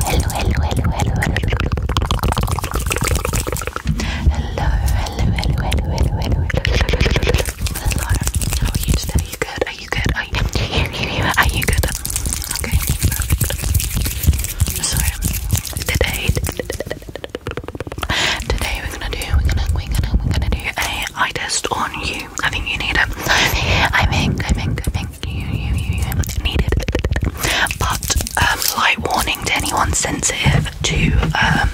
Hello, hello, hello, hello, hello. Hello, hello, hello, hello, hello, hello. Hello. How are you today? Are you good? Are you good? Are you Are you good? Okay. So today today we're gonna do we're gonna we're gonna we're gonna do a eye test on you. I think you need it. I think I think I think I something you, you, you needed. But um, light warning to anyone sensitive to um,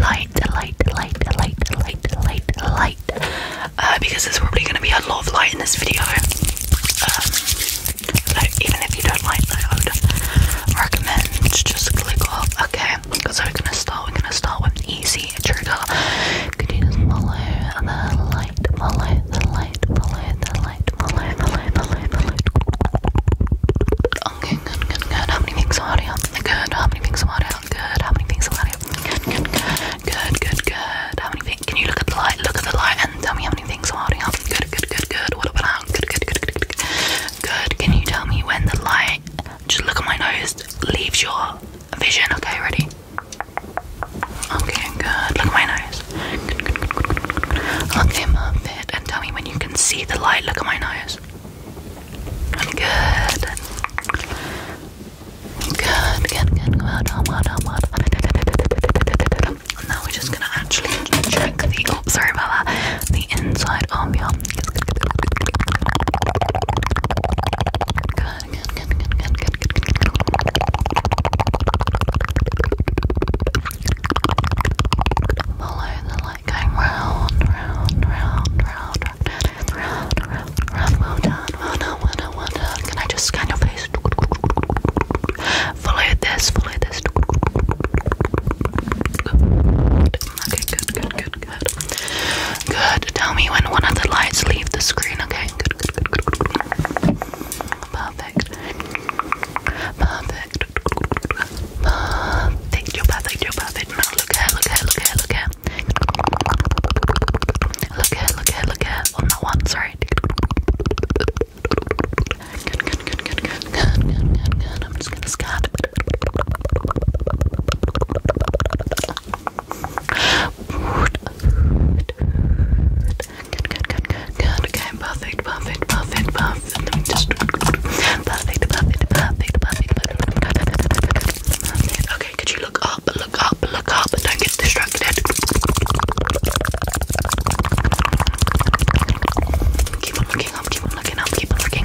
light, light, light, light, light, light, light. Uh, because there's probably going to be a lot of light in this video. Um, even if you don't like that, I would recommend just click off. Okay, so we're going to start. We're going to start with an easy trigger. Could you just light, follow the light, follow the light, follow the light, follow the light. Okay, good, good, good. How many things are you? Good, how many things are you? Good, how many things are you? Good, good, good, good, How many things? Can you look at the light? Look at the light and tell me how many things are you? Good, good, good, good. What about now? Good, good, good, good, good. Good. Can you tell me when the light? Just look at my nose. Leaves your vision. Okay, ready? Okay, good. Look at my nose. Good, good, good, good, good. Look him up it and tell me when you can see the light. Look at my nose. Good. Good, good, good. Well done, well done, well done. Now we're just gonna actually check the oh sorry about that. The inside of your good, good, good, good, good, good, good, good, good, good, good. Follow the light going round, round, round, round, round, round, round, round. Well done, well done, well done, well done. Can I just scan your face? Follow this, follow this. Good. Okay, good, good, good, good, Good. Tell me when one of the lights leave the screen, okay? Perfect. Perfect. Perfect. You're perfect. You're perfect. look here, look here, look here, look here. Look here, look here, look sorry perfect, perfect, perfect, perfect. Let me just perfect, perfect, perfect, perfect, perfect, Okay, could you look up, look up, look up, don't get distracted. Keep on looking up, keep on looking up, keep on looking.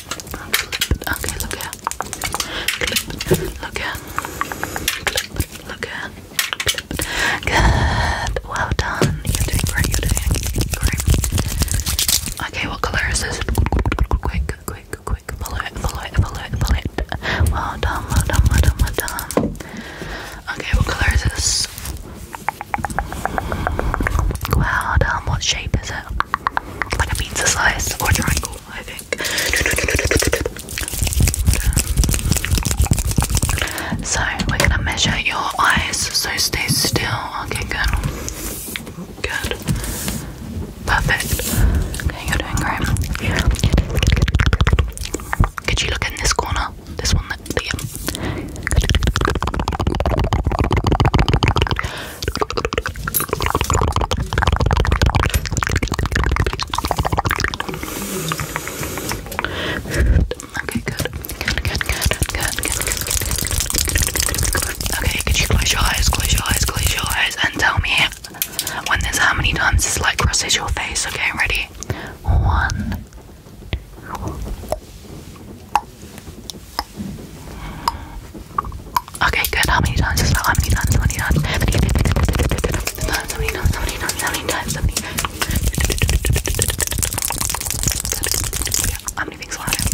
Okay, look here. Clip. Look Look here. Clip. Good. Well done. You're doing great. You're doing great. Okay, what color is this? Quick, quick, quick. Follow it. Follow it. Well done. Well done. Well done. Well done. Okay, what color is this? Well done. What shape is it? Like a pizza slice or triangle? I think. Um, so, we're gonna measure your eyes, so stay still. Okay, good. Good. Perfect. you're doing great. Could you look in this corner? This one, that Okay, good. Good, good, good, good, good. Okay, could you close your eyes, close your eyes, close your eyes, and tell me when there's how many times this light crosses your face? Okay, ready? One. Okay, good. How many times? How many times? How many times? How many times? How many times? How many times? How many times? How many times? How many things will happen?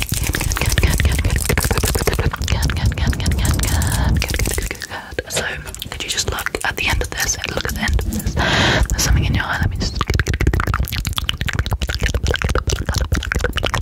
So, could you just look at the end of this? Look at the end of this. There's something in your eye. Let me just.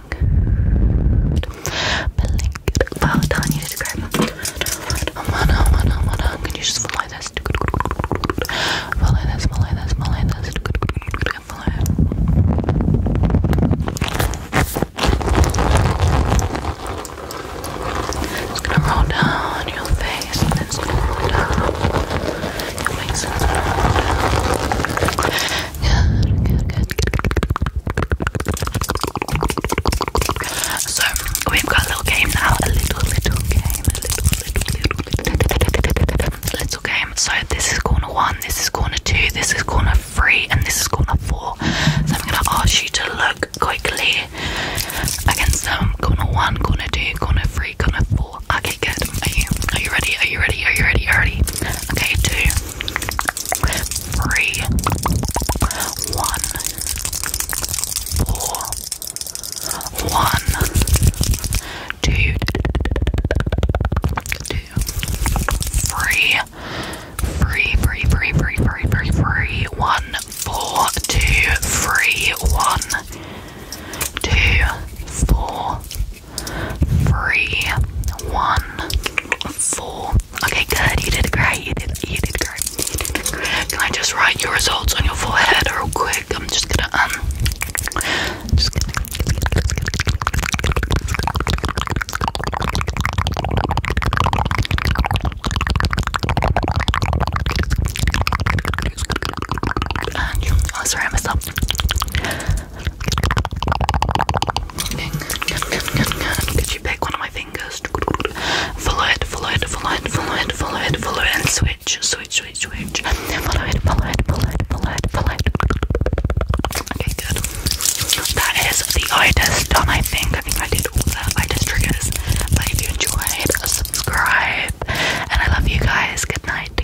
blink. Blink. Well done, you did great. Oh man, oh man, oh man, oh. Can you just follow this? Follow this, follow this, It's gonna roll down your face and then it's gonna roll down. So we've got a little game now. A little, little game. A little, little, little, little, game. So this is corner one. This is corner two. This is corner three, and this is corner four. So I'm gonna ask you to look quickly against them. Corner one, corner two, corner three, corner four. Okay, good. Are you? Are you ready? Are you ready? Are you ready? Are you ready? Okay, two three, one, four, one, two, two, three, three, three, three, three, three, three, three, one, four, two, three, one, two, four three, one, four. Okay, good. You did great. You did. You did great. Can I just write your results on your forehead real quick? I'm just gonna um. Just gonna. And, oh, sorry, I messed up. Could you pick one of my fingers? Follow it, follow it, follow it, follow it, follow it, follow it, switch, switch, switch, switch. Follow it, follow it, follow it, follow it, follow it. Okay, good. That is the itis I think. I think I did all the itis triggers. But if you enjoyed, subscribe. And I love you guys. Good night.